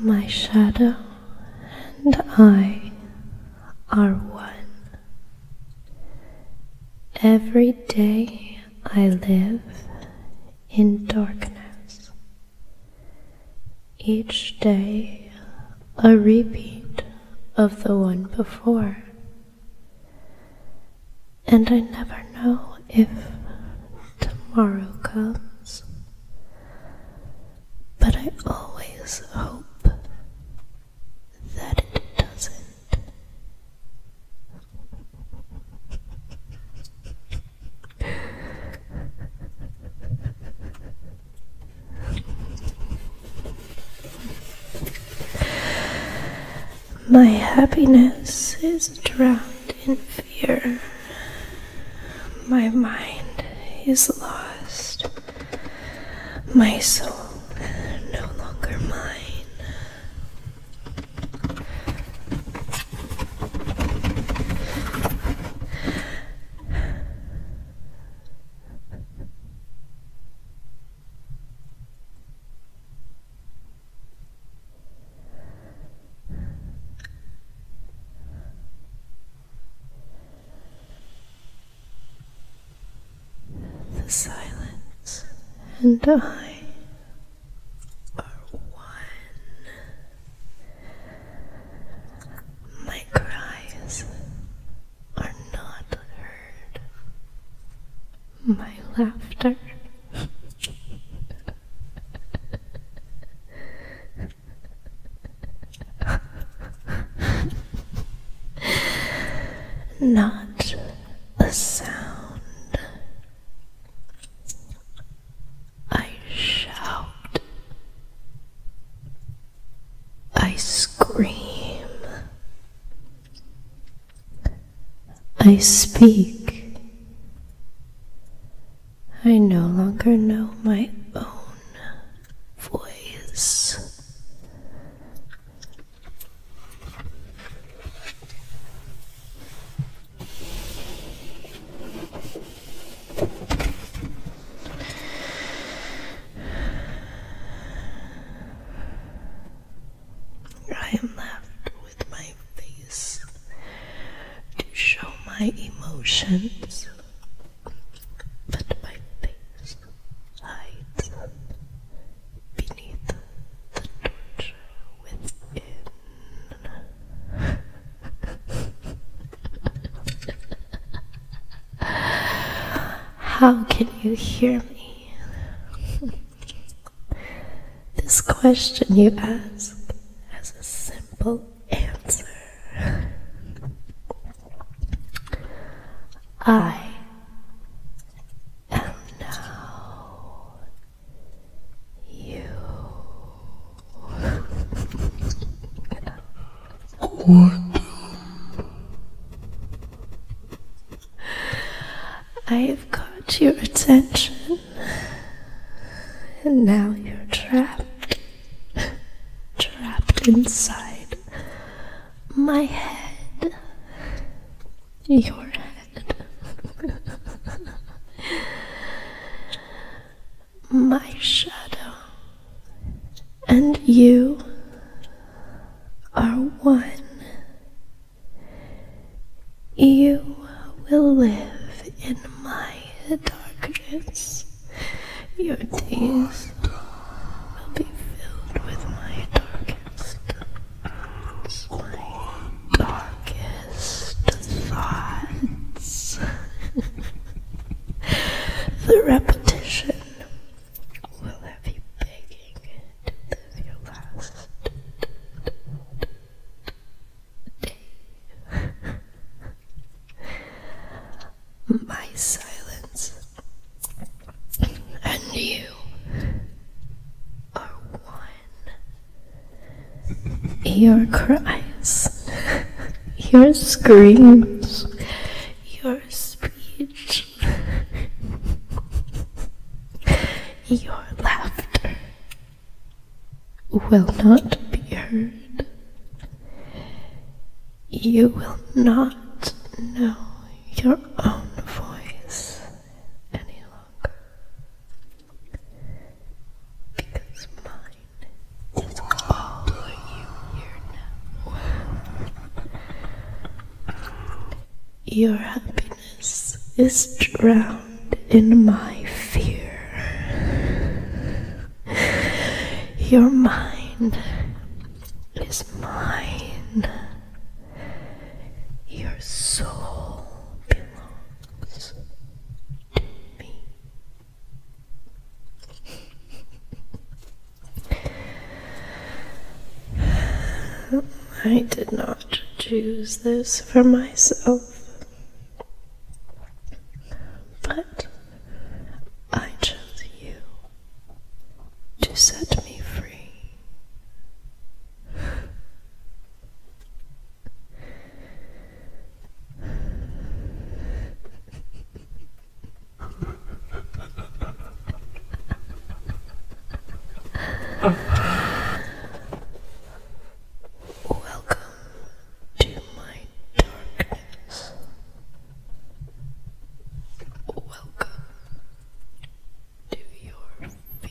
My shadow and I are one. Every day I live in darkness. Each day a repeat of the one before. And I never know if tomorrow comes, but I always hope that it doesn't. My happiness is drowned in fear. My mind is lost. My soul no longer mine. The silence and I or one. My cries are not heard. My laughter. Not a sound I shout, I scream, I speak. I no longer know my own voice. I am left with my face to show my emotions, but my face hides beneath the torture within. How can you hear me? this question you ask has a simple answer. I am now you I've caught your attention, and now you're trapped, trapped inside my head. Your head. My shadow and you are one. You will live in my darkness. Your days will be filled with my darkest. It's darkest thoughts. the repetition will have you begging to live your last day. My silence and you are one your cries, your screams, your speech, your laughter will not be heard. You will not know your own voice any longer. Because mine is all you hear now. Your happiness is drowned in my fear. Your mind is mine. Your soul belongs to me. I did not choose this for myself, but I chose you to set me free. Welcome to my darkness. Welcome to your fear.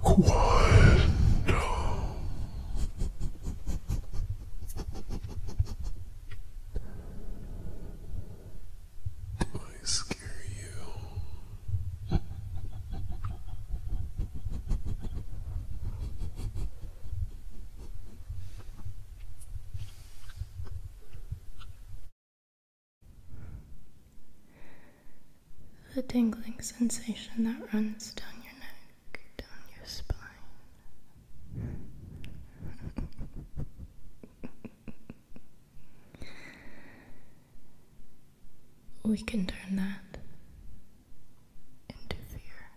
Quiet. Did I scare you? The tingling sensation that runs down your neck, down your spine. we can turn that into fear.